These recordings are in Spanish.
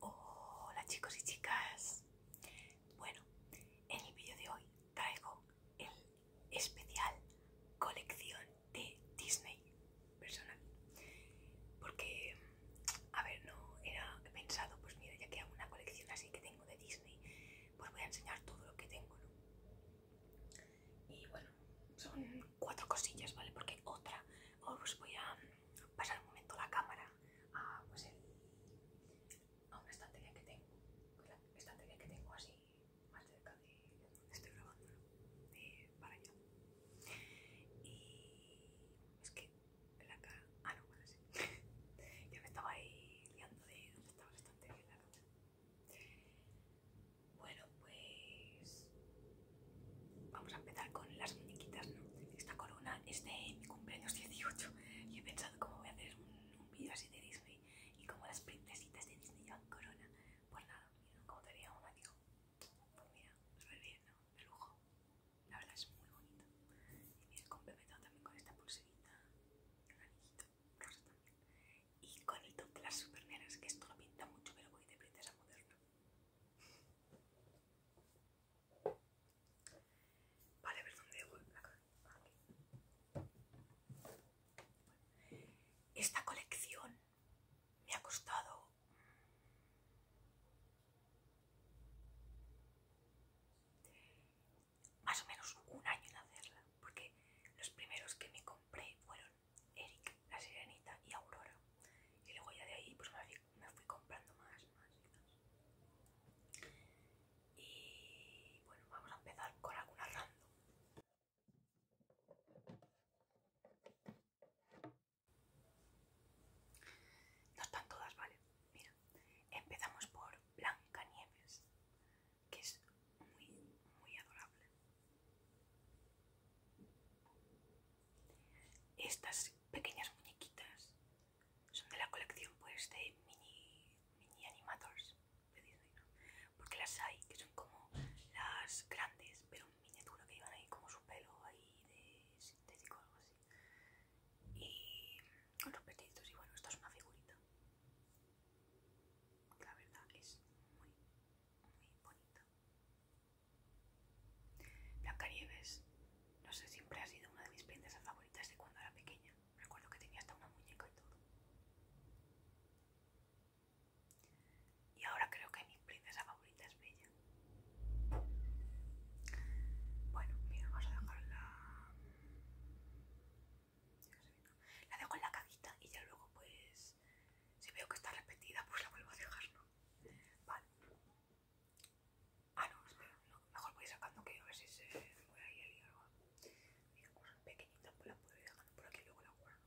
Hola chicos y chicas. Bueno, en el vídeo de hoy traigo el especial colección de Disney personal. Porque, a ver, no era pensado, pues mira, ya que hago una colección así que tengo de Disney pues voy a enseñar todo lo que tengo, ¿no? Y bueno, son cuatro cosillas, ¿vale? Porque otra, os oh, pues voy a pasar un momento la cámara a, pues el, una estantería que tengo, la estantería que tengo así más cerca de donde estoy grabando, ¿no? Eh, para allá. Y es que la cara... Ah, no, bueno, sí. ya me estaba ahí liando de dónde estaba la bueno, pues vamos a empezar con las muñequitas, ¿no? Esta corona es de mi cumpleaños 18 y he pensado cómo voy a hacer un, vídeo así de Disney y como las princesitas de Disney llevan corona. Pues nada, mira, como veía un digo, pues mira, súper bien, ¿no? De lujo. La verdad es muy bonito. Y mira, complementado también con esta pulserita, y con el tono de las super que esto lo pinta mucho, pero voy de princesa moderna. Vale, a ver dónde Esta colección me ha costado más o menos un año en hacerla, porque los primeros que me compré fueron Eric, La Sirenita y Aurora. Y luego ya de ahí pues me fui, comprando más, y bueno, vamos a empezar con alguna random. No están todas, ¿vale? Mira, empezamos por Blanca Nieves que es muy, muy adorable. Estas pequeñas muñequitas son de la colección pues de mini, mini animators Porque las hay que son como las grandes, pero en miniatura que iban ahí como su pelo ahí de sintético o algo así. Y con los petitos, y bueno, esto es una figurita. La verdad es muy, muy bonita. nieves, no sé, siempre ha sido una de mis princesas favoritas desde cuando era pequeña. Recuerdo que tenía hasta una muñeca y todo. Y ahora creo que mi princesa favorita es Bella. Bueno, mira, vamos a dejarla la dejo en la cajita y ya luego pues si veo que está repetida pues la vuelvo a dejar, ¿no? Vale. Ah, no, Mejor voy sacando que a ver si se voy ahí a algo. Mira, pues, pues la puedo ir dejando por aquí y luego la guardo.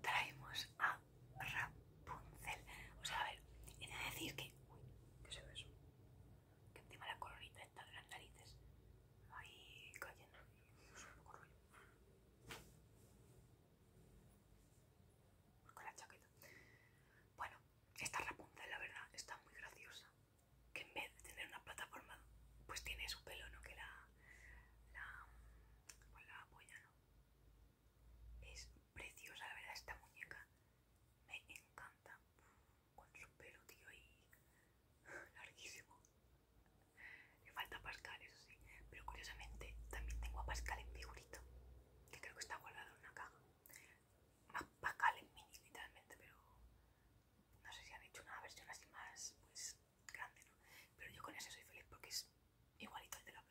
Traemos a Rapunzel. O sea, a ver, he de decir que. Uy, ¿qué se ve eso? Que encima la colorita está de las narices. Ahí cayendo. un Con la chaqueta. Bueno, esta Rapunzel, la verdad, está muy graciosa. Que en vez de tener una plataforma, pues tiene su pelo, ¿no? Que la la, la polla, ¿no? Es preciosa, la verdad, esta muñeca. Me encanta. Con su pelo, tío, y larguísimo. Le falta Pascal, eso sí. Pero curiosamente también tengo a Pascal en figurito, Que creo que está guardado en una caja. Pascal en mini, literalmente, pero no sé si han hecho una versión así más, pues grande, Pero yo con ese soy feliz porque es igualito al de la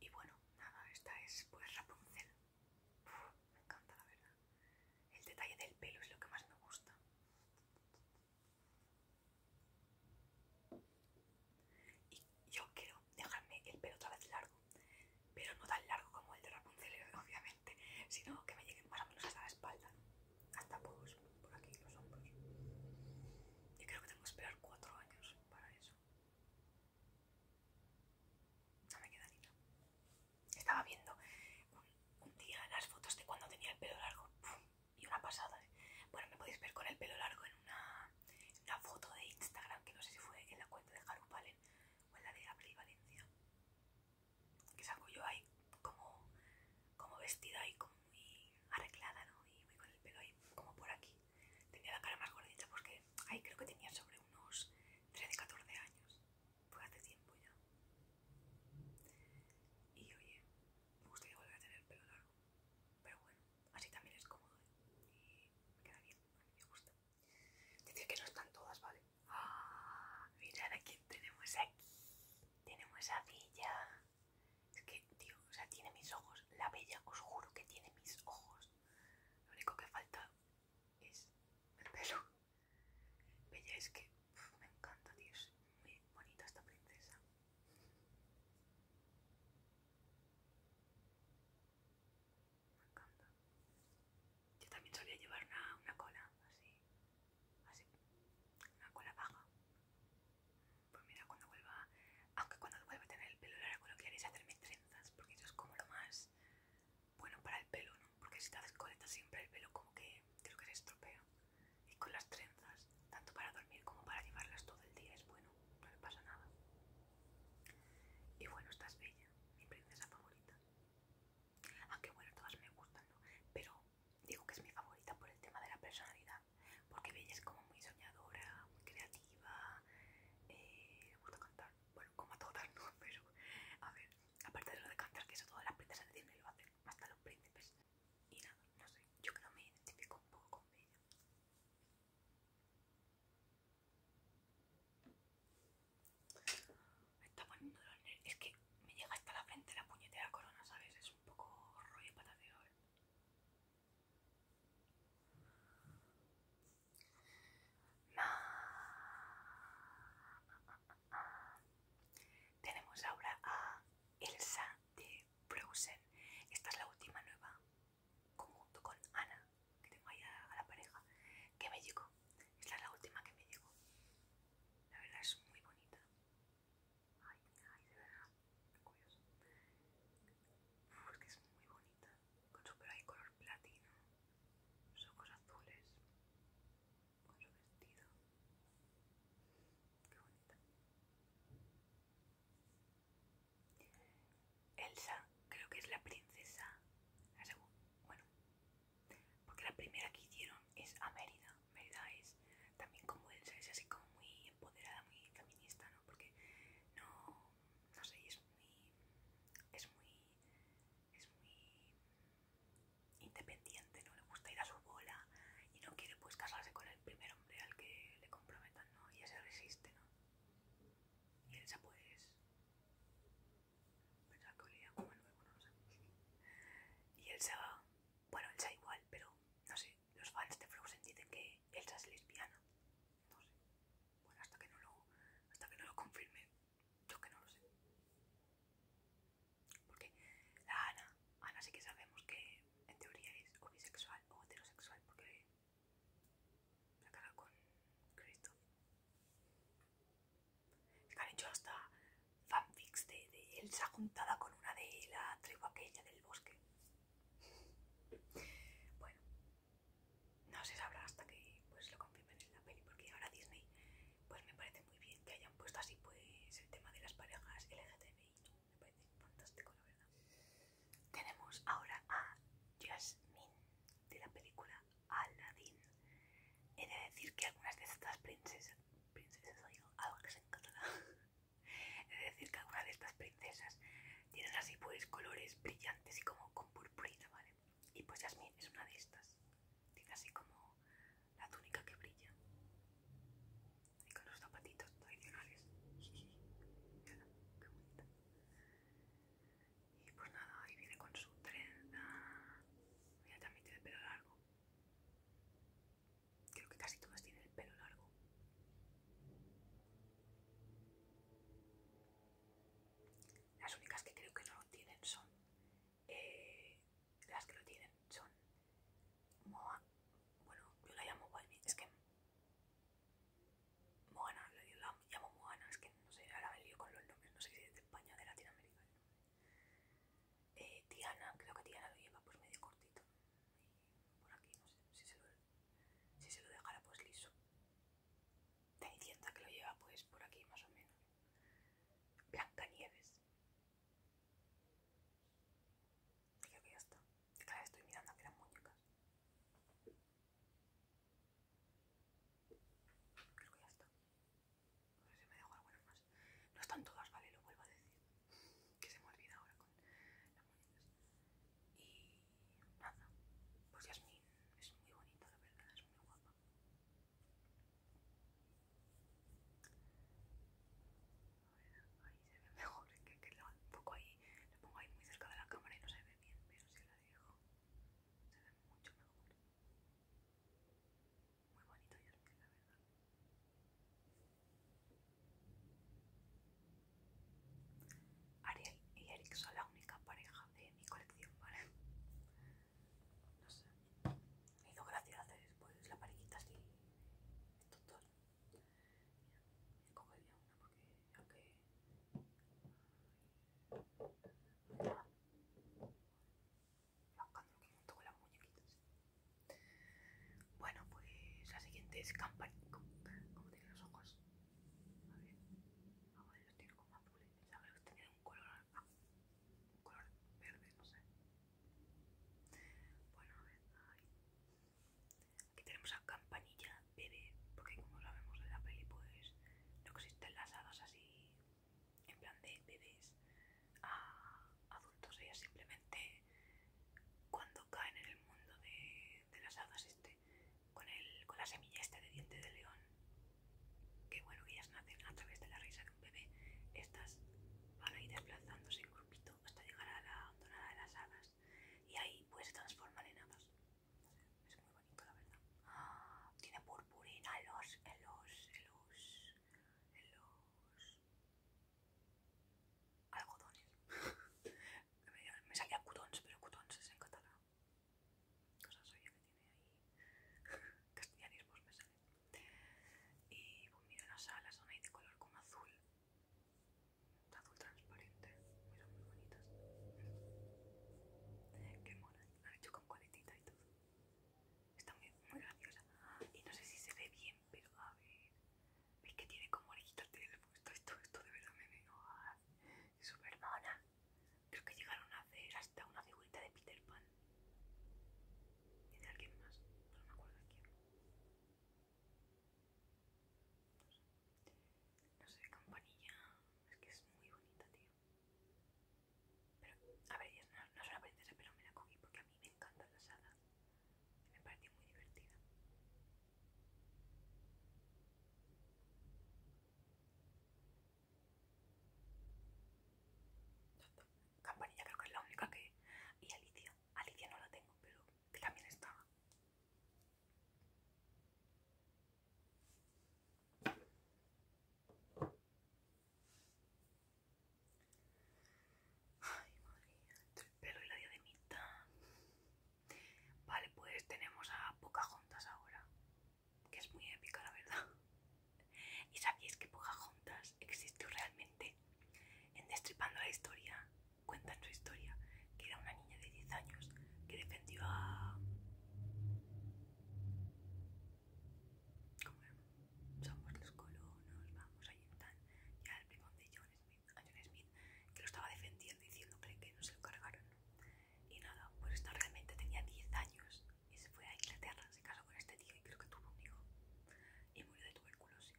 Y bueno, nada, esta es pues Rapunzel. me encanta, la verdad. El detalle del pelo es lo que más me gusta. Y yo quiero dejarme el pelo otra vez largo, pero no tan largo como el de Rapunzel, obviamente, sino que me llegue más o menos hasta la espalda hasta por, por aquí los hombros. Y creo que tengo que esperar cuatro años para eso. No me queda ni nada. Estaba viendo un, día las fotos de cuando tenía el pelo largo. Y una pasada. ¿eh? Bueno, me podéis ver con el pelo largo en una, una foto de Instagram, que no sé si fue en la cuenta de Haru o en la de Abril Valencia que salgo yo ahí como, como vestida y como muy arreglada, ¿no? Y muy con el pelo ahí como por aquí. Tenía la cara más gordita porque ahí creo que tenía sobre unos 13-14 años. Fue hace tiempo ya. Y oye, me gustaría volver a tener el pelo largo. Pero bueno, así también es cómodo ¿eh? y me queda bien, a mí me gusta. Decir que no están todas, ¿vale? Ah, mirad a quién tenemos aquí esa villa. Es que, tío, o sea, tiene mis ojos. La bella, os juro que tiene mis ojos. Lo único que falta es el pelo. Bella es que me encanta, tío. Es muy bonita esta princesa. Me encanta. Yo también solía llevar una cola así así, una cola baja. Pues mira, cuando vuelva, aunque cuando vuelva a tener el pelo largo lo que haré es hacerme trenzas, porque eso es como lo más bueno para el pelo, ¿no? Porque si te haces coleta siempre el pelo como que creo que se estropea. Y con las trenzas, tanto para dormir como para llevarlas todo el día, es bueno, no le pasa nada. Y bueno, estás bella, mi princesa favorita. Aunque bueno, todas me gustan, ¿no? Pero digo que es mi favorita por el tema de la personalidad, porque Bella es como muy soñadora, muy creativa, eh, le gusta cantar, bueno, como a todas, ¿no? Pero, a ver, aparte de lo de cantar, que eso todas las princesas de Disney lo hacen, hasta los príncipes. Y nada, no sé, yo creo que me identifico un poco con Bella. Me está poniendo los nervios, es que me llega hasta la frente la puñetera corona, ¿sabes? eso? un poco rollo para Tenemos ahora a Elsa de Frozen. Esta es la última nueva, conjunto con Ana, que tengo ahí a, a la pareja, que me llegó. Esta es la última que me llegó. La verdad es muy bonita. Ay, ay, de verdad, qué curioso. es que es muy bonita, con su pelo ahí color platino, sus ojos azules, con su vestido. Qué bonita. Elsa, creo que es la princesa. bueno, porque la primera que hicieron es Mérida verdad es también como es así como muy empoderada, muy feminista, ¿no? Porque no, no sé, es muy, es muy, es muy independiente, ¿no? Le gusta ir a su bola y no quiere pues casarse con el primer hombre al que le comprometan, ¿no? Y se resiste, ¿no? Y Elsa pues... Pensaba que olía como nuevo, no sé. Y Elsa, bueno, Elsa igual, pero no sé, los fans de Frozen dicen que Elsa es lesbiana. No sé. Bueno, hasta que no lo, hasta que no lo confirme, yo que no lo sé. Porque la Ana, Ana sí que sabemos que en teoría es homosexual o heterosexual porque la cagado con Cristo. Es que han hecho hasta fanfics de, de Elsa juntada con una de la tribu aquella del bosque. Bueno, no se sabrá hasta que pues lo confirmen en la peli, porque ahora Disney pues me parece muy bien que hayan puesto así pues el tema de las parejas LGTBI, me parece fantástico la verdad. Tenemos ahora a Jasmine de la película Aladdin. He de decir que algunas de estas princesas, princesas algo que se encarga. Es decir, cada una de estas princesas tienen así pues colores brillantes y como con purpurina, ¿vale? Y pues Jasmine es una de estas. Tiene así como la túnica que brilla. Y con los zapatitos tradicionales. Y pues nada, ahí viene con su trenza. Mira, también tiene pelo largo. Creo que casi todas tienen el pelo largo. Las únicas que creo que no lo tienen son. Eh, las que lo tienen son. Moa. Bueno, yo la llamo Balbi. Es que. Moana, la, llamo Moana. Es que no sé, ahora me lío con los nombres. No sé si es de España o de Latinoamérica. Eh, Tiana, creo que Tiana lo lleva pues medio cortito por aquí, no sé, si se lo, si se lo dejara pues liso. cierta que lo lleva pues por aquí más o menos. Blancanieves. Y creo que ya está. Claro, estoy mirando que eran muñecas. Creo que ya está. a ver si me dejo alguna más. No están todas, vale, lo vuelvo a decir. Que se me olvida ahora con las monedas. Y nada, pues ya es muy bonito la verdad, es muy guapa. A ahí se ve mejor, que, un ahí, pongo ahí muy cerca de la cámara y no se ve bien, pero si la dejo, se ve mucho mejor. Muy bonito Yasmin, la verdad. Ariel y Eric son la única pareja de mi colección, ¿vale? No sé. Me hizo gracia hacer pues, la parejita así. Estos dos. Mira, me que. ya una porque a que lo que como con las muñequitas. Bueno, pues la siguiente es Campanilla, como tiene los ojos? A ver, ah, ver, los tiene como azules. a que tienen un color, ah, un color verde, no sé. Bueno, a ver, Aquí tenemos a Campanilla bebé, porque como sabemos de la peli, pues no existen las hadas así en plan de bebés, a adultos. Ellas simplemente cuando caen en el mundo de, las hadas este, con, el, con la semilla este de diente de león, que bueno, ellas nacen a través de la risa de un bebé, estas van a ir desplazándose en grupito hasta llegar a la donada de las hadas y ahí pues se transforman en hadas. es muy bonito la verdad. tiene purpurina en los, en los, en los algodones. me salía cutons, pero cutons es en catalán. Cosa soy que tiene ahí castellanismos pues, me sale. Y pues, mira, las alas son ahí de color como azul. Azul transparente, mira, muy bonitas. Qué mono lo han hecho con coletita y todo. Está muy graciosa. Y no sé si se ve bien, pero a ver. ¿Ves que tiene como orejitas? Esto, esto, esto de verdad me vengo a... Super mona. Creo que llegaron a hacer hasta una figurita de Peter Pan. ¿Tiene alguien más. No me acuerdo de quién. No sé. campanilla. Es que es muy bonita, tío. Pero, a ver, no, no es una princesa, pero me la cogí porque a mí me encanta la sala. Me pareció muy divertida. Campanilla creo que es la única que... Y Alicia. Alicia no la tengo, pero también estaba. Ay, madre mía, entre el pelo y la diademita. Vale, pues tenemos a Pocahontas ahora, que es muy épica, la verdad. ¿Y sabéis que Pocahontas existió realmente? En Destripando la Historia, cuentan su historia, que era una niña de 10 años que defendió a... ¿Cómo era? Somos los colonos, vamos ahí están. ya el primón de a John Smith que lo estaba defendiendo diciendo que no se lo cargaron y nada, pues esta realmente tenía 10 años y se fue a Inglaterra, se casó con este tío y creo que tuvo un hijo y murió de tuberculosis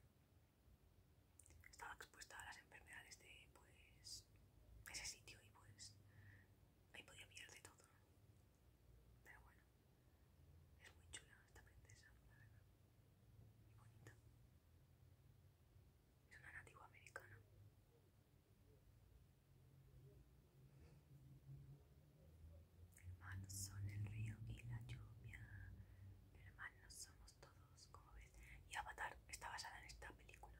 estaba expuesta a las enfermedades de pues ese sitio y pues ahí podía vivir de todo pero bueno es muy chula esta princesa la verdad es una nativa americana. Hermanos son el río y la lluvia. Hermanos somos todos, como ves. Y Avatar está basada en esta película.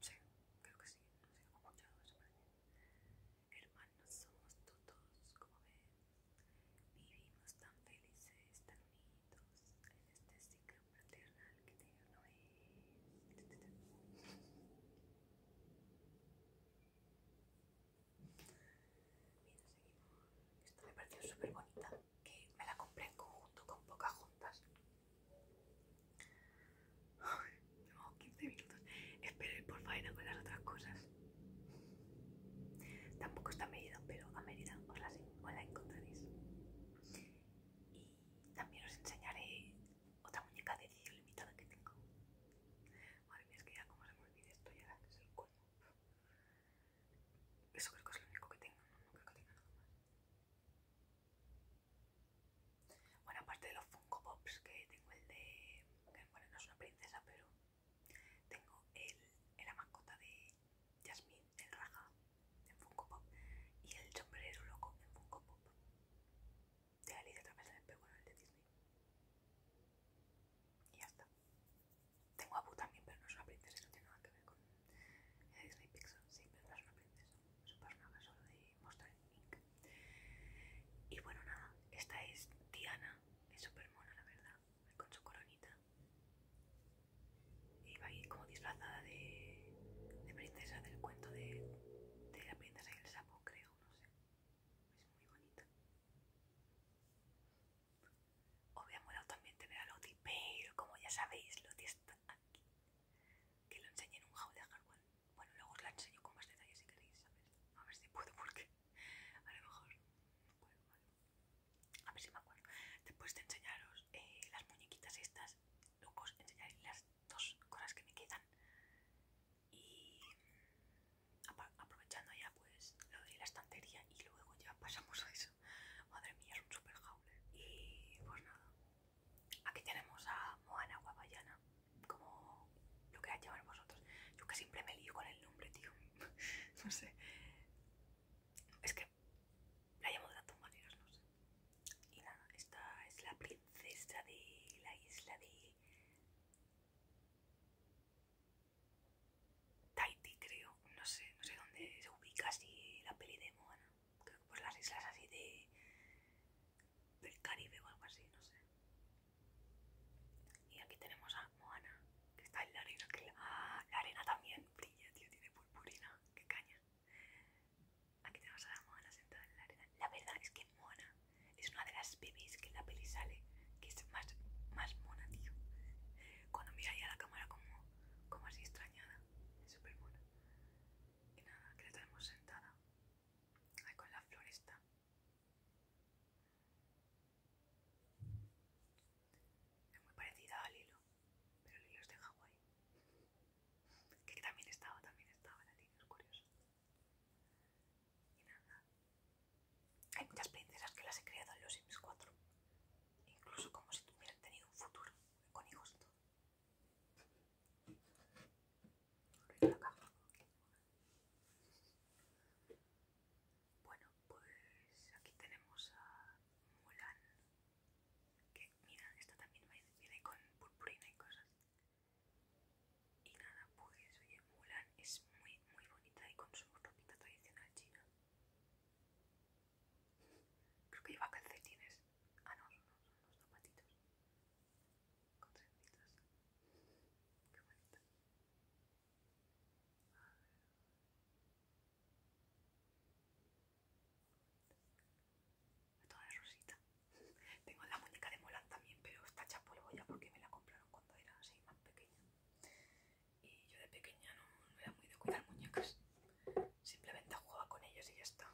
Sí, creo que sí. Hermanos somos todos, como ves. Vivimos tan felices, tan unidos en este ciclo fraternal que tengo, es. Bien, seguimos. Esto me pareció súper bonita, que me la compré en conjunto con pocas juntas. Tenemos 15 minutos. Espero por faena con las otras cosas. Tampoco está medida, pero a medida os la, encontraréis. Y también os enseñaré otra muñeca de edición limitada que tengo. Madre mía, es que ya como se me olvida esto, ya es el cuello. Eso creo que es lo único que tengo, no, creo que tenga nada más. Bueno, aparte de los Funko Pops que tengo el de... bueno, no es una princesa, pero tengo el, la mascota de Jasmine, el Raja, en Funko Pop, y el sombrero loco en Funko Pop. De Alice a través pero bueno, el de Disney. Y ya está. Tengo a Boo también, pero no es una princesa, no tiene nada que ver con Disney Pixar. Sí, pero no es una princesa, es un solo de Monster Mink. Y bueno, nada, esta es Diana, es súper mona, la verdad con su coronita. Y va ahí como disfrazada de, princesa del cuento de, la princesa y el sapo, creo, no sé. Es muy bonita. ha molado también tener a Loti pero como ya sabéis, Loti está aquí. Que lo enseñé en un haul de hardware. Bueno, luego os la enseño con más detalles si queréis, a a ver si puedo, porque a lo mejor no a ver si me acuerdo. Después de enseñaros eh, las muñequitas estas, luego os enseñaré las dos cosas que me quedan. Y aprovechando ya pues lo de la estantería y luego ya pasamos a eso. Madre mía, es un super jauler Y pues nada. Aquí tenemos a Moana Guapayana, como lo queráis llamar vosotros. Yo que siempre me lío con el tío. no sé. Es que la llamo de la maneras, no sé. Y nada, esta es la princesa de la isla de Tahiti, creo. No sé, no sé dónde se ubica así la peli de Moana. Creo que por las islas así de... del Caribe o algo así, no sé. Y aquí tenemos a Moana, que está en la arena. Que la... la arena también brilla, tío, tiene purpurina. ¡Qué caña! Aquí tenemos a Moana sentada en la arena. La verdad es que Moana es una de las bebés que en la peli sale, que es más, más mona, tío. Cuando mira ahí a la cámara como, como así extrañada, es súper mona. Y nada, que la tenemos sentada. Ahí con la floresta. Es muy parecida al hilo, pero Lilo es de Hawái. Que también estaba, también estaba la es curioso. Y nada. Hay muchas princesas que las he creado en los Sims 4. Incluso como si tuvieran tenido un futuro, con hijos bueno, pues aquí tenemos a Mulan. Que mira, esta también viene con purpurina y cosas. Y nada, pues oye, Mulan es muy, muy bonita y con su ropita tradicional china. Creo que lleva calcetines. Ah, no, son, unos los zapatitos. Con trencitas. Qué bonita. Esto rosita. Tengo la muñeca de Molan también, pero está hecha ya porque me la compraron cuando era así más pequeña. Y yo de pequeña no, era muy de cuidar muñecas. Simplemente jugaba con ellas y ya está.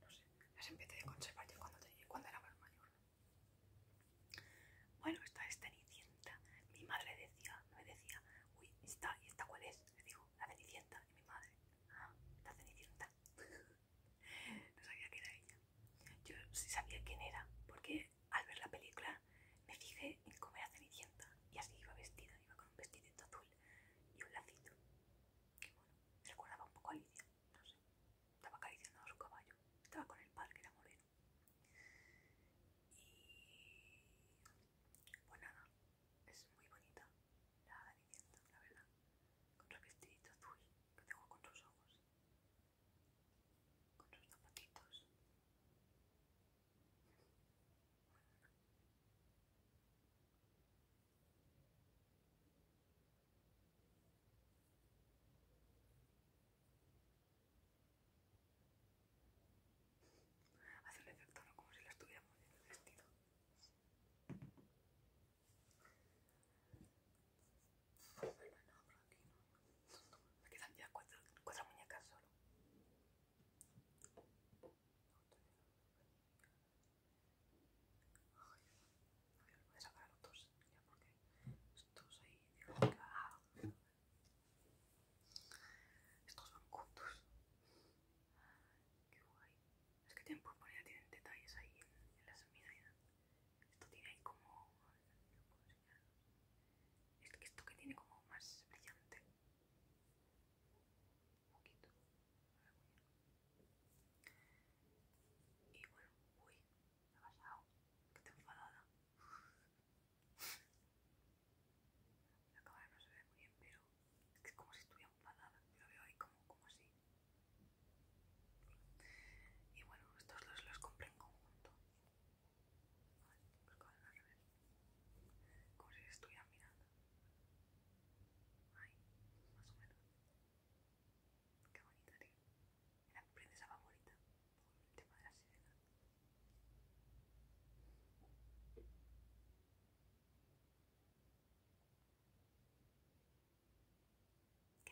No sé, las empecé a conservar yo cuando, cuando era más mayor. Bueno, esta es Cenicienta. Mi madre decía, me decía, uy, esta, ¿y esta cuál es? Le digo, la Cenicienta. Y mi madre, ah, la Cenicienta. no sabía que era ella. Yo sí sabía quién era, porque al ver la película me fijé en cómo era Cenicienta. Y así iba vestida, iba con un vestidito azul y un lacito. Que bueno, me recordaba un poco a Lidia, no sé. Estaba acariciando a su caballo. Estaba con el padre, que era moreno. Y pues nada, es muy bonita la Cenicienta, la verdad. Con su vestidito azul que tengo con sus ojos, con sus zapatitos. Hace el efecto ¿no? como si la estuviera en el vestido. aquí están ya cuatro, cuatro muñecas solo. Ay, a voy a sacar los dos ya porque estos ahí, digo, ah. Estos van juntos. Qué guay. Es que tienen ya tienen detalles ahí en, la las ¿eh? Esto tiene ahí como. Es que esto que tiene como más brillante. Un poquito. Y bueno, uy, me ha pasado. Que te enfadada. La cámara no se ve muy bien, pero es como si estuviera enfadada. Yo lo veo ahí como, como así. Y bueno, estos dos los compré en conjunto. Pues con al revés. Como si estuvieran mirando. Ahí, más o menos. Qué bonita, tío. Era mi princesa favorita por el tema de la sirena. Qué bonito. Igual voy a estar todos para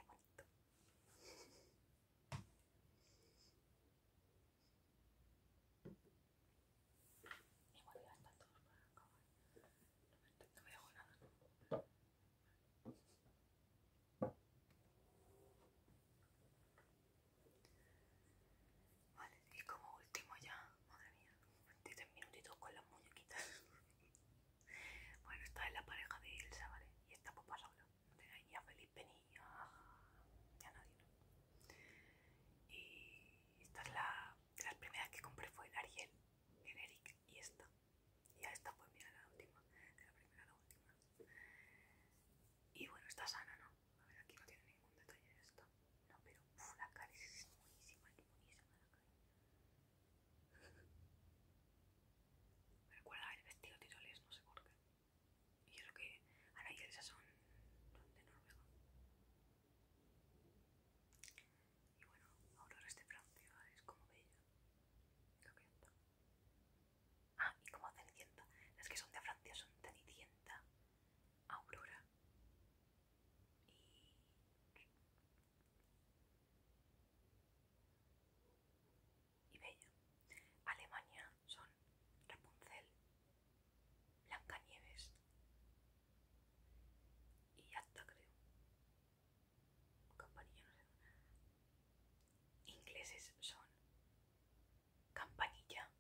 acabar. No me, dejo nada, Vale, y como último ya, madre mía, 23 minutitos con las muñequitas. bueno, esta es la pareja de Elsa, ¿vale? Y esta papá pues, pasa sola. No a Felipe ni a, nadie, ¿no? Y esta es la. De las primeras que compré fue el Ariel, Eric y esta. Y a esta pues mira la última, de la primera la última. Y bueno, está sana, ¿no? A ver, aquí no tiene ningún detalle esto. No, pero la cara es buenísima, es la cara. Me recuerda el vestido tiroles, no sé por qué. Y es lo que Ana y Elsa son, de Noruega. Y bueno, ahora este de Francia, es como bella. lo que Ah, y como Cenicienta. Las que son de Francia son Tanicienta, Aurora y... Bella. Alemania son Rapunzel, Blancanieves y hasta creo. Campanilla, no sé. Ingleses son campanilla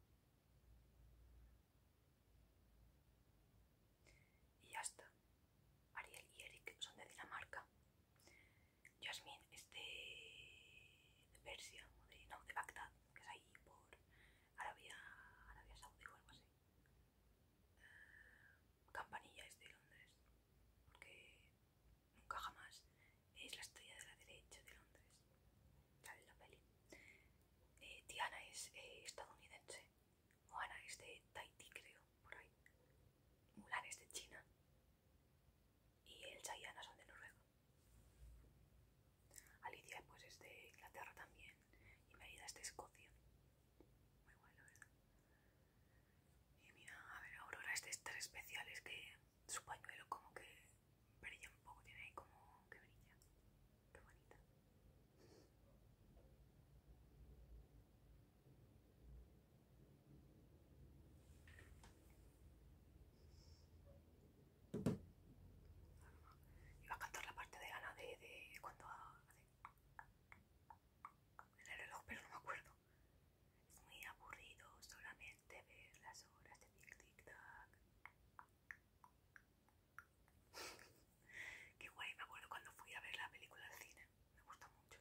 y ya está. Ariel y Eric son de Dinamarca. Jasmine es de, Persia, de, no, de Bagdad, que es ahí por Arabia, Arabia Saudí o algo así. Campanilla es de Londres, porque Nunca jamás es la estrella de la derecha de Londres. Sale la peli. Eh, Tiana es eh, estadounidense. Moana es de Tahití, creo, por ahí. Mulan es de China. Y Elsa y Anna son de Noruega. Alicia pues es de Inglaterra también. Y Merida es de Escocia. Muy bueno. la Y mira, a ver, Aurora este es de estas especiales que su pañuelo como que brilla un poco, tiene ahí como que brilla. Qué bonita. Iba a cantar la parte de Ana de, de cuando hace el reloj, pero no me acuerdo. Es muy aburrido solamente ver las horas de tic tic tac. Qué guay, me acuerdo cuando fui a ver la película al cine. Me gustó mucho.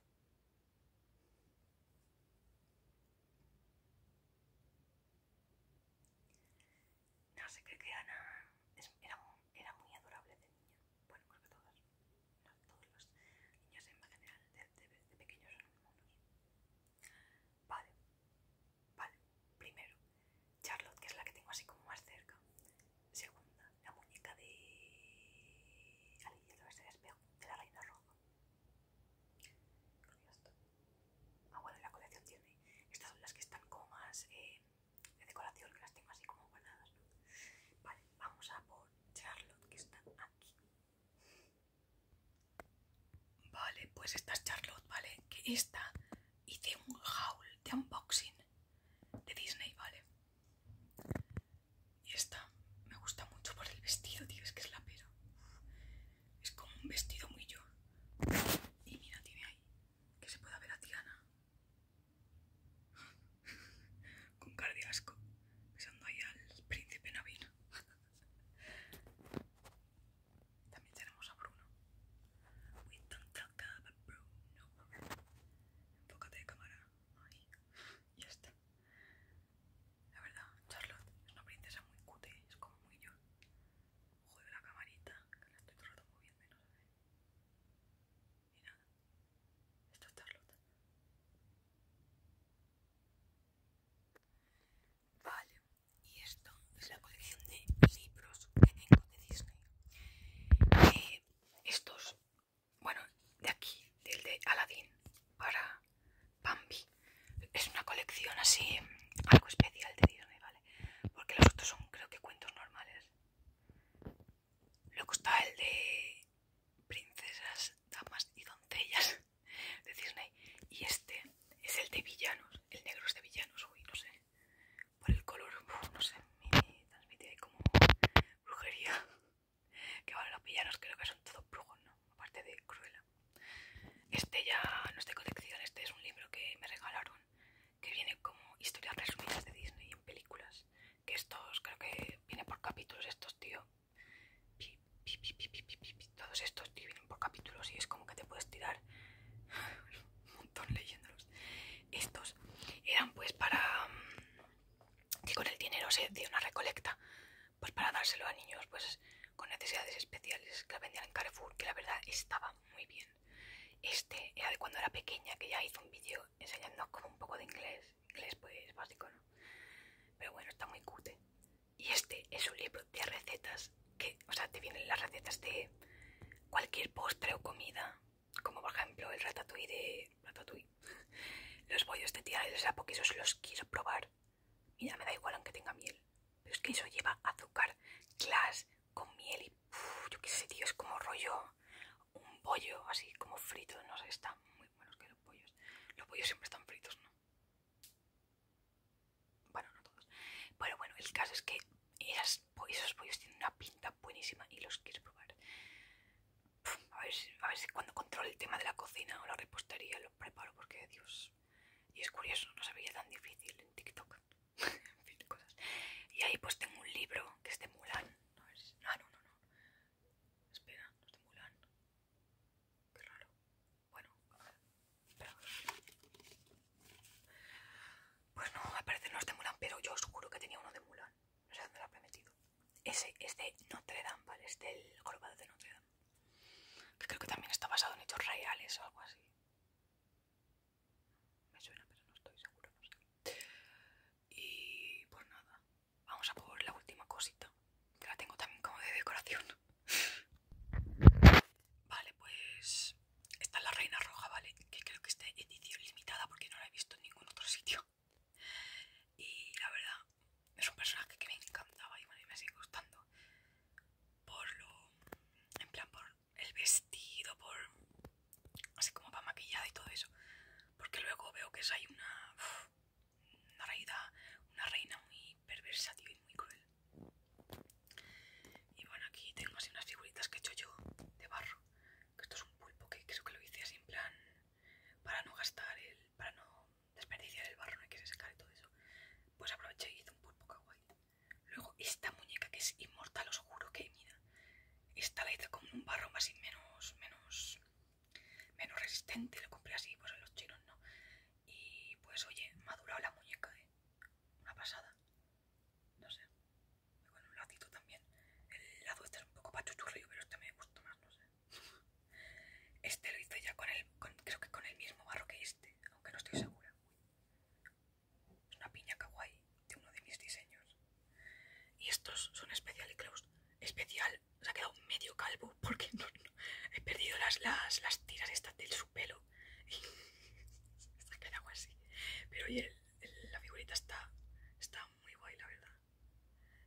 No sé, qué que Ana era, muy adorable de niña. Bueno, creo que todas. todos los niños en general de, pequeños son Vale, vale. Primero, Charlotte, que es la que tengo así como más cerca. Segunda, la muñeca de. Alicia de espejo, de la reina roja. Ah, bueno, la colección tiene. Estas son las que están como más eh, de decoración, que las tengo así como guardadas, ¿no? Vale, vamos a por Charlotte, que está aquí. Vale, pues esta es Charlotte, ¿vale? Que esta hice un haul de unboxing de Disney, ¿vale? Y esta me gusta mucho por el vestido, tío, es que es la pera. Es como un vestido muy yo. Y mira, tiene ahí que se pueda ver a Tiana. Con cardiasco de ahí al príncipe Navina. También tenemos a Bruno. We don't talk about Bruno. Enfócate de cámara. Ahí. Ya está. La verdad, Charlotte es una princesa muy cute, es como muy yo. Juego la camarita, que la estoy todo el rato moviendo y no sé. Y nada. Esto es Charlotte. Vale, y esto es la colección de libros que tengo de Disney. Y eh, estos, bueno, de aquí, del de Aladdin para Bambi. Es una colección así, algo especial de Disney, ¿vale? Porque los otros son, creo que, cuentos normales. Luego está el de princesas, damas y doncellas de Disney. Y este es el de villanos. El negro es de villanos, uy, no sé. Por el color, no sé, me transmite como brujería. Que bueno, los villanos creo que son todos brujos, ¿no? Aparte de Cruella. Este ya no es de colección, este es un libro que me regalaron. Que viene como historias resumidas de Disney en películas. Que estos creo que viene por capítulos estos, tío todos estos vienen por capítulos y es como que te puedes tirar un montón leyéndolos. Estos eran pues para mm, que con el dinero se hacía una recolecta, pues para dárselo a niños pues con necesidades especiales que la vendían en Carrefour, que la verdad estaba muy bien. Este era de cuando era pequeña, que ya hizo un vídeo enseñando como un poco de inglés. Inglés pues básico, ¿no? Pero bueno, está muy cute. Y este es un libro de recetas que, o sea, te vienen las recetas de cualquier postre o comida, como por ejemplo el ratatouille de ratatouille. Los bollos de tierra de que esos los quiero probar. Mira, me da igual aunque tenga miel. Pero es que eso lleva azúcar, glass con miel y yo qué sé, tío, es como rollo un pollo, así como frito, no sé, está muy buenos que los pollos. Los pollos siempre están fritos, ¿no? Bueno, no todos. Pero bueno, el caso es que esos pollos tienen una pinta buenísima y los quiero probar. a, ver si, cuando controle el tema de la cocina o la repostería Lo preparo, porque Dios. Y es curioso, no se veía tan difícil en TikTok. en fin, cosas. Y ahí pues tengo un libro que es de Mulan. A Ah, no, no, no. Espera, no es de Mulan. Qué raro. Bueno, ver. Pues no, aparecen los de Mulan, pero yo os juro que tenía uno de Mulan. No sé dónde lo he metido. Ese es de Notre Dame, ¿vale? Es del de Notre Dame. Que creo que también está basado en hechos reales o algo así. Me suena, pero no estoy seguro, no sé. Y pues nada, vamos a por la última cosita. Que la tengo también como de decoración. Vale, pues esta es la Reina Roja, ¿vale? Que creo que en edición limitada porque no la he visto en ningún otro sitio. Y la verdad, es un personaje que me encantaba y bueno, me sigue gustando. Por lo... En plan, por el vestido, por... Así como va maquillada y todo eso. Porque luego veo que hay una... Una reina, una reina muy perversa, y muy cruel. Y bueno, aquí tengo así unas figuritas que he hecho yo de barro. Que esto es un pulpo que creo que lo hice así plan para no gastar el. para no desperdiciar el barro, no hay que secar y todo eso. Pues aproveché y hice un pulpo kawaii. Luego esta muñeca que es inmortal, os juro que mira. Esta la hice con un barro más y menos, menos, menos resistente, lo compré así, pues en los chinos no. Y pues oye, madurado la muñeca, ¿eh? Una pasada. No sé. Con un también. El lado este es un poco pachuchurrío, pero este me gusta más, no sé. Este lo hice ya con el. creo que con el mismo barro que este, aunque no estoy segura. Es una piña kawaii de uno de mis diseños. Y estos son especial creo Especial se ha quedado medio calvo porque he perdido las, las, las tiras estas de su pelo está así. Pero oye, la figurita está, está muy guay, la verdad.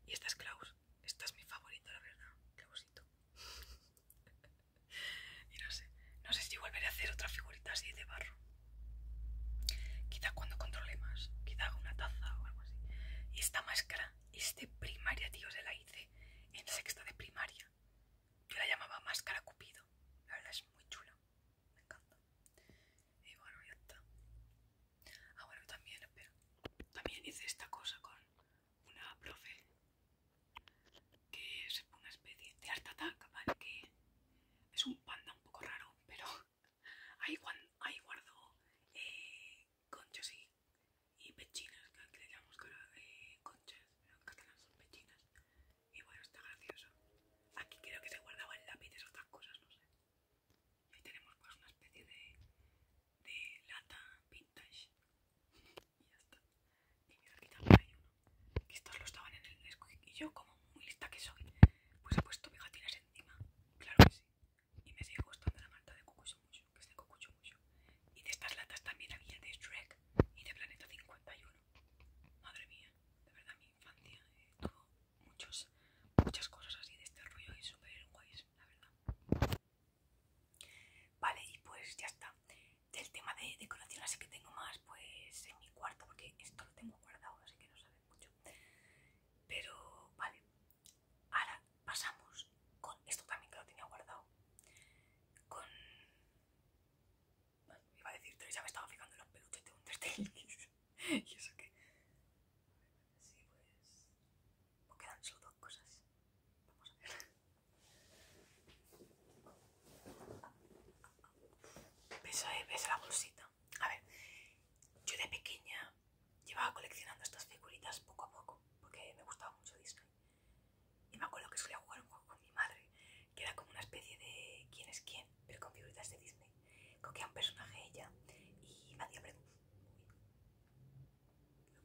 Y esta es Klaus, esta es mi favorita, la verdad, Klausito. y no sé, no sé si volveré a hacer otra figurita así de barro. Quizá cuando controle más, quizá haga una taza o algo así. Y esta máscara es de primaria, tío, se la hice en sexta de primaria. Yo la llamaba Máscara Cupido. La verdad es muy chula. Me encanta. Y bueno, ya está. Ah, bueno, también, También hice esta cosa con una profe que es una especie de art attack, ¿vale? Que es un panda un poco raro, pero ahí, ahí guardo eh, y, pechinas, que le llamamos eh, son pechinas. Y bueno, está gracioso. Aquí creo que se guardaban lápices o otras cosas, no sé. Y tenemos pues una especie de, de lata vintage. y ya está. Y mira, aquí también hay uno. Que estos lo estaban en el Nesquik. Y yo, como muy lista que soy, pues he puesto pegatinas encima. Claro que sí. Y me sigue gustando la marca de Cucucho mucho, que es de Cucucho y de estas latas también había de Shrek y de Planeta 51. Madre mía, de verdad mi infancia eh, tuvo muchos, muchas cosas así de este rollo y super guays, la verdad. Vale, y pues ya está. Del tema de decoración así que tengo más pues en mi cuarto, porque esto lo tengo guardado, así que no sabe mucho. Pero vale, ahora pasamos con esto también que lo tenía guardado. Con me iba a decir tres, ya me estaba fijando en los peluches de Undertale. y eso que. Sí, pues, pues. quedan solo dos cosas. Vamos a ver. ¿Ves, ¿Ves eh, la bolsita? A ver, yo de pequeña llevaba coleccionando estas figuritas poco a poco porque me gustaba mucho Disney. Y me acuerdo que solía jugar un juego con mi madre, que era como una especie de quién es quién, pero con figuritas de Disney. Cogía un personaje ella y me hacía un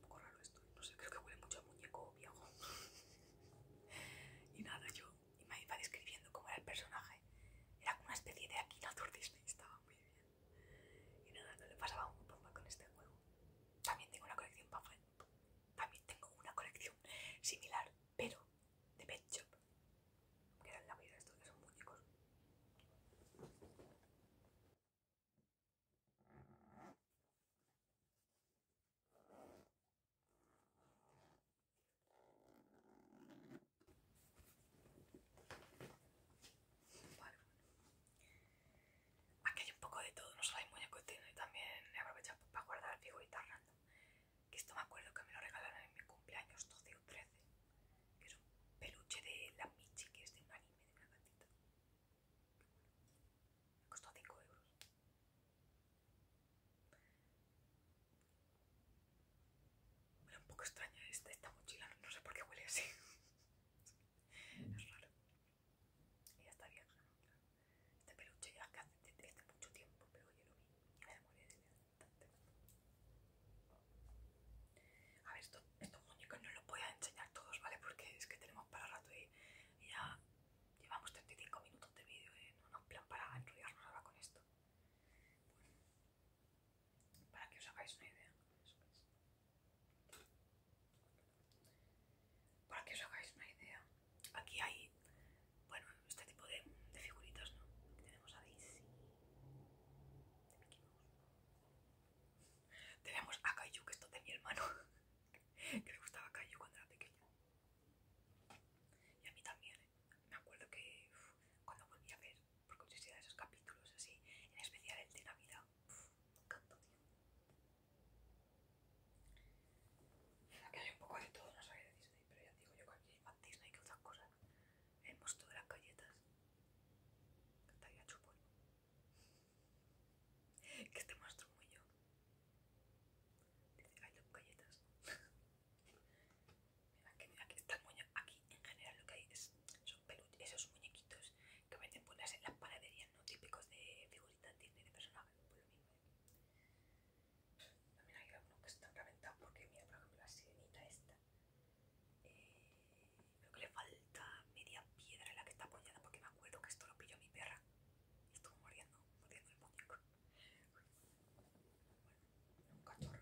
poco raro esto, no sé, creo que huele mucho a muñeco viejo. y nada, yo y me iba describiendo cómo era el personaje. Era como una especie de Akinator Disney, estaba muy bien. Y nada, no le pasaba un bomba con este juego. También tengo una colección frente también tengo una colección similar, pero de Pet Shop, que eran la vida de estos que son muñecos. Aquí hay un poco de todo, no solo hay de y también he aprovechado para guardar figuritas random. Que esto me acuerdo que me lo regalaron en mi cumpleaños 12 o 13. Que es un peluche de la Michi, que es de un anime, de una gatita. Me costó 5 euros. Huele un poco extraña este, esta mochila, no sé por qué huele así. es raro ya está bien. ¿no? Claro. Este peluche ya hace, que hace mucho tiempo, pero yo lo vi. Me A ver, esto, estos muñecos no los voy a enseñar todos, ¿vale? Porque es que tenemos para rato y, ya llevamos 35 minutos de vídeo, y ¿eh? No nos plan para enrollarnos ahora con esto. Bueno, para que os hagáis una idea. Para que os hagáis una idea. Aquí hay, bueno, este tipo de, figuritos, figuritas, ¿no? tenemos a Daisy. Tenemos a cayu que esto todo de mi hermano. que le gustaba cayu cuando era pequeña. Y a mí también, ¿eh? Me acuerdo que cuando volví a ver, porque os esos capítulos así, en especial el de Navidad, me encantó, Aquí hay un poco de todo, no sabía de Disney, pero ya digo yo que aquí hay más Disney que otras cosas. El monstruo de las galletas. Que chupón Que este monstruo muy yo. Dice, hay dos galletas. Aquí, aquí, está aquí en general lo que hay es, son esos muñequitos que venden por en las panaderías, ¿no? Típicos de figuritas Disney de personajes, por pues lo mismo. También hay algunos que están reventados porque, mira, por ejemplo, la sirenita esta. Eh, creo que le falta media piedra en la que está apoyada porque me acuerdo que esto lo pilló mi perra. Y estuvo mordiendo, Muriendo el muñeco. Bueno, un cachorro normal.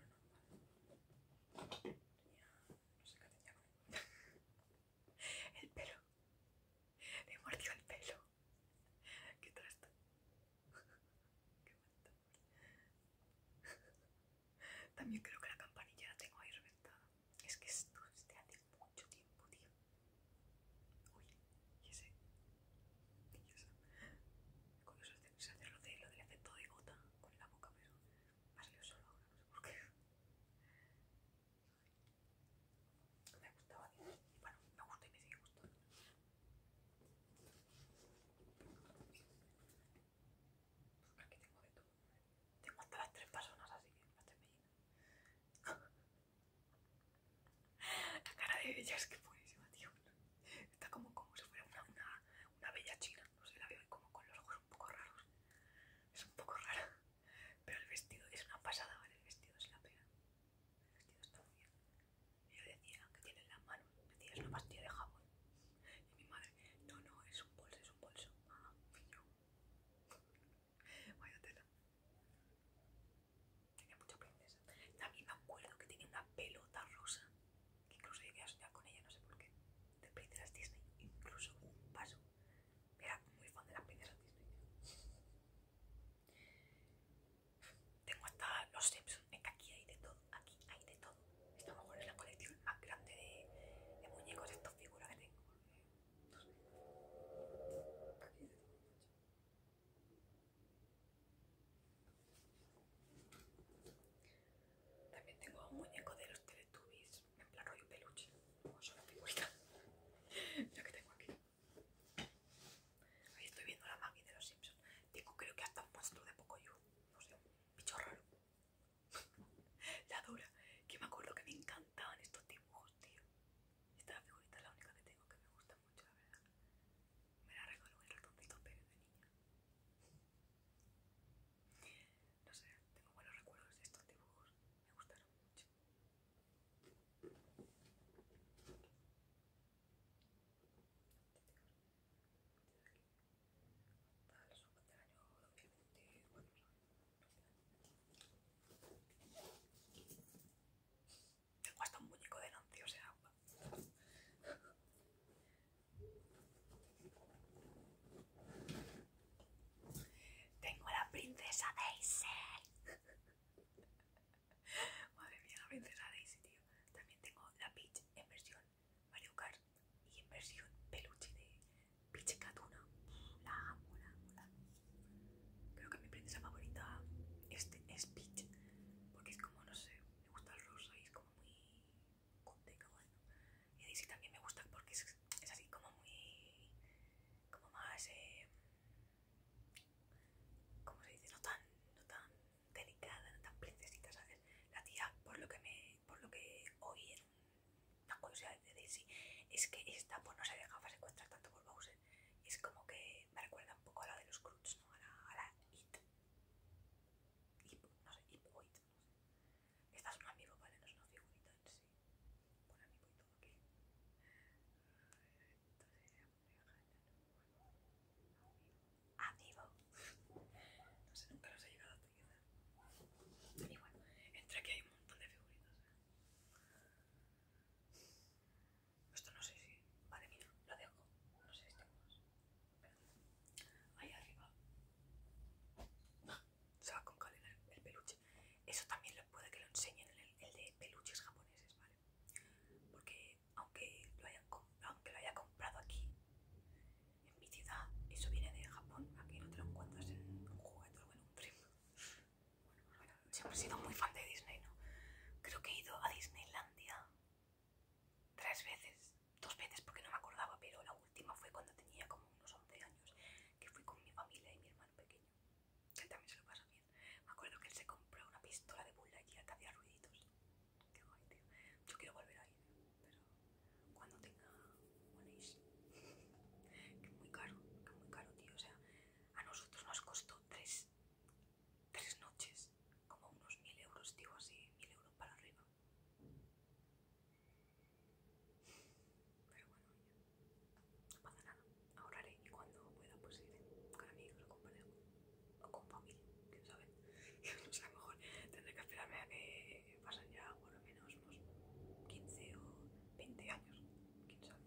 no sé qué tenía con él. el pelo. Me mordió el pelo. ¿Qué trasto? ¿Qué También creo que la campanilla la tengo ahí reventada. Es que esto es de hace mucho tiempo, tío. Uy, y ese. Con eso se hace lo, de, lo del efecto de gota con la boca, pero me ha salido solo ahora, no sé por qué me gustaba y bueno, me gusta y me sigue gustando. Pues aquí tengo de todo. Tengo hasta las tres personas así, las tres La cara de ella es que buenísima, tío. Está como, como si fuera una, bella china. No sé, la veo como con los ojos un poco raros. Es un poco rara. Pero el vestido es una pasada, ¿vale? El vestido es la pena el vestido Y yo decía que tiene la mano, me decía, es una pastilla de jabón. Y mi madre, no, no, es un bolso, es un bolso. Ah, yo. Vaya tela. Tenía mucha princesa. También me acuerdo que tenía una pelota rosa. Que incluso llegué a soñar con ella, no sé por qué. De princesas Disney, incluso un vaso. Era muy fan de las princesas Disney. Tengo hasta los Simpsons, aquí hay de todo, aquí hay de todo. Esta es la colección más grande de, muñecos de estas figuras que tengo. También tengo un muñeco de los Teletubbies, en plan rollo peluche, son las figurita, Mira que tengo aquí. Ahí estoy viendo la Mami de los Simpsons. Tengo creo que hasta un monstruo de Pocoyo. No sé, un bicho raro. la dura. Que me acuerdo que me encantaban estos dibujos, tío. Esta figurita es la única que tengo que me gusta mucho, la verdad. Me la regaló el ratoncito Pepe de niña. No sé, tengo buenos recuerdos de estos dibujos. Me gustaron mucho. Tengo hasta un muñeco de Nancy, o Tengo la princesa de Madre mía, la princesa Daisy, tío. También tengo la Peach en versión Mario Kart y en versión peluche de Peach Katuna. La amo, la Creo que mi princesa favorita este es Peach. Porque es como, no sé, me gusta el rosa y es como muy bueno. Y Daisy también me gusta porque es, es así como muy... como más... Eh, como se dice, no tan, delicada, no tan princesita, ¿sabes? La tía, por lo que me, por lo que oí en una curiosidad de Daisy, es que esta pues no se dejaba secuestrar tanto por Bowser. Es como que me recuerda un poco a la de los Cruts, ¿no? A la, a la It. no sé, Ip o It, Esta es un amigo, ¿vale? No es una figurita en sí. Un amigo y todo aquí. Entonces, Amigo. No sé, nunca nos ha llegado a tener Y bueno, entre aquí hay un montón de figuritas. Esto no sé si. Vale, mira, lo dejo. No sé si tengo Ahí arriba. Se va con calidad el peluche. Eso también lo puede que lo enseñen el, el de peluches japoneses, ¿vale? Porque aunque lo, hayan, aunque lo haya comprado aquí, en mi ciudad, eso viene de Japón, aquí no te lo encuentras en un juguete o en un primo. Bueno, bueno, siempre he sido muy fan de Disney, ¿no? Creo que he ido a Disneylandia tres veces, dos veces porque no me acordaba, pero la última fue cuando tenía como unos 11 años, que fui con mi familia y mi hermano pequeño que también se lo pasa bien. Me acuerdo que él se compró una pistola de bulla y te hacía ruiditos. Qué guay, tío. Yo quiero volver ahí, pero cuando tenga moneys. que muy caro, que muy caro, tío. O sea, a nosotros nos costó tres, tres noches, como unos mil euros, tío, así, mil euros para arriba. Pero bueno, no pasa nada ahorraré y cuando pueda pues ir con amigos o con o con familia, quién sabe. no sé, a lo mejor tendré que esperarme a que pasen ya por lo menos unos pues, 15 o 20 años, quién sabe.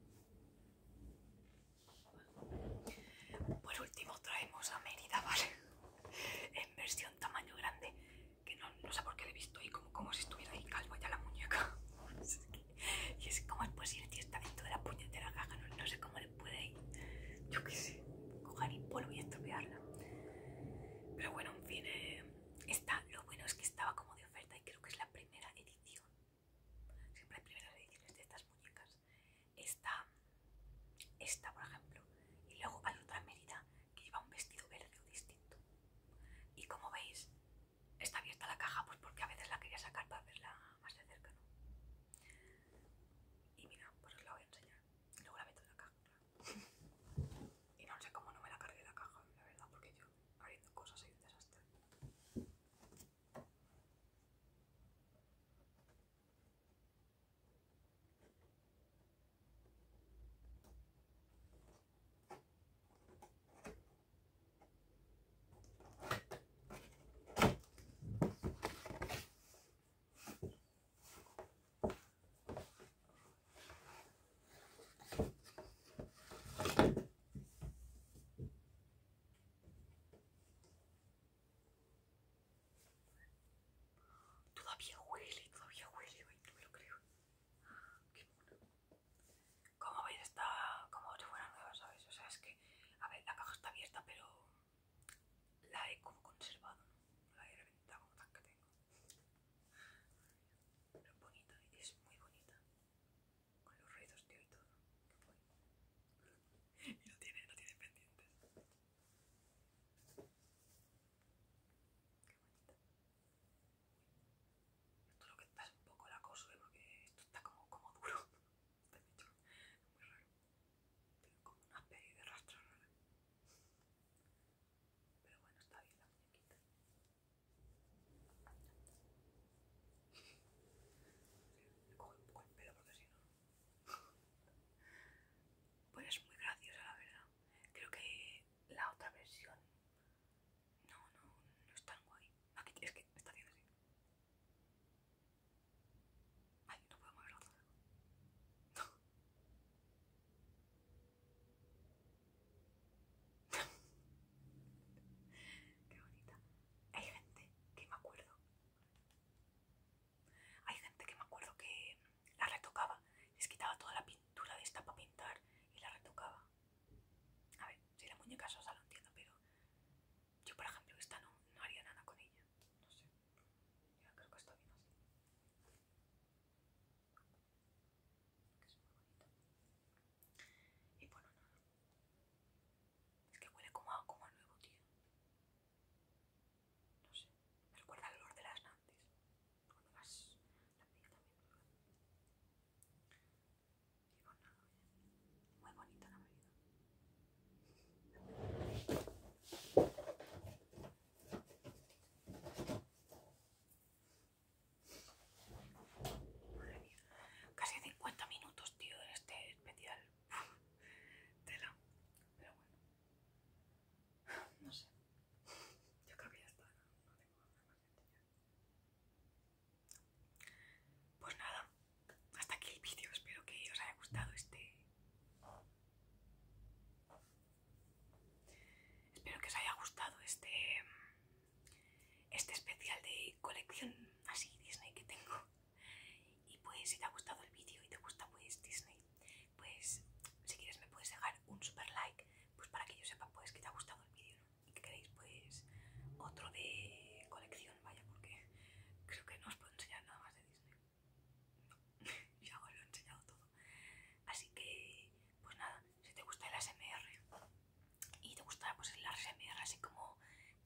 Por último traemos a Merida ¿vale? en versión tamaño grande, que no, no sé por qué le he visto y como, como si estuviera ahí calvo ya la muñeca. y es como es posible, está dentro de la puñetera caja, no, sé cómo le puede ir, yo qué sé, coger el polvo y estropearla. Pero bueno, en fin, eh, esta, lo bueno es que estaba como de oferta y creo que es la primera edición. Siempre hay primeras ediciones de estas muñecas. Esta, esta por ejemplo, y luego hay otra medida que lleva un vestido verde o distinto. Y como veis, está abierta la caja pues porque a veces la quería sacar para verla más de cerca, ¿no? Y mira, pues os la voy a enseñar. luego la meto en la caja. y no sé cómo no me la cargué la caja, la verdad, porque yo abriendo cosas y un desastre. Todavía huele, todavía huele, no me lo creo. Ah, qué ¿Cómo veis? Está como si fuera nuevos ¿sabes? O sea, es que a ver, la caja está abierta, pero la he como conservado, ¿no? la he reventado como tan que tengo. Pero es bonita, es muy bonita. Con los ruidos, tío, y todo. ¿Qué y no tiene, pendientes. Qué bonita. Esto lo que está es un poco la cosa, ¿eh? porque esto está como duro está hecho muy raro tiene como una peli de rastro raro, pero bueno está bien la muñequita me coge un poco el pelo porque si no pues es muy graciosa la verdad creo que la otra versión no no no es tan guay Aquí, es que está bien así Ay, no puedo moverlo No. Qué bonita. Hay gente que me acuerdo. Hay gente que me acuerdo que la retocaba. Les quitaba toda la pintura de esta para pintar y la retocaba. A ver, si la muñeca sosa lo entiendo, pero yo, por ejemplo, esta no, no haría nada con ella. No sé. Ya creo que está bien así. Que es muy bonito. Y bueno, nada. Es que huele como a, nuevo, tío. No sé. Me recuerda el olor de las nantes. Cuando las... La mía también. Y bueno, nada. Muy bonita la bebida. Casi 50 minutos, tío, en este especial. Tela. Pero bueno. No sé. Yo creo que ya está. No, tengo más Pues nada, hasta aquí el vídeo, espero que os haya gustado este... Espero que os haya gustado este... Este especial de colección así Disney que tengo. Y pues si te ha gustado el vídeo y te gusta pues Disney, pues si quieres me puedes dejar un super like pues para que yo sepa pues que te ha gustado el vídeo y que queréis pues otro de colección vaya, porque creo que no os puedo enseñar nada más de Disney. ya os lo he enseñado todo. Así que, pues nada, si te gusta el SMR y te gusta pues, el ASMR así como eh,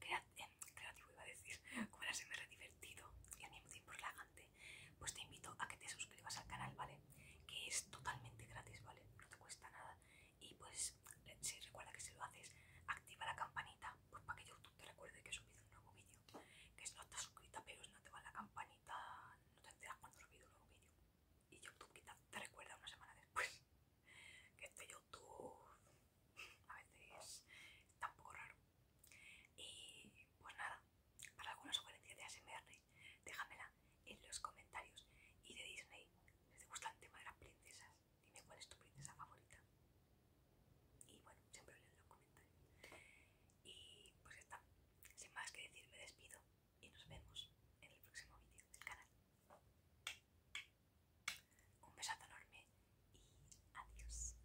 creativo, iba a decir, como el SMR divertido y al mismo tiempo relajante, pues te invito a que te suscribas al canal, ¿vale? Que es totalmente gratis, ¿vale? No te cuesta nada. Y pues, si recuerda que si lo haces, activa la campanita pues para que YouTube te recuerde que he subido un nuevo vídeo. Que si no estás suscrita, pero si no te va la campanita, no te enteras cuando subido un nuevo vídeo. Y YouTube quizás te recuerda una semana después. Que este YouTube a veces está un poco raro. Y pues nada, para alguna sugerencia de ASMR, déjamela en los comentarios. Y de Disney, les gusta el tema de las princesas, Dime cuál es tu princesa favorita. Y bueno, siempre le doy los comentarios. Y pues ya está. Sin más que decir, me despido y nos vemos en el próximo vídeo del canal. Un besazo enorme y adiós.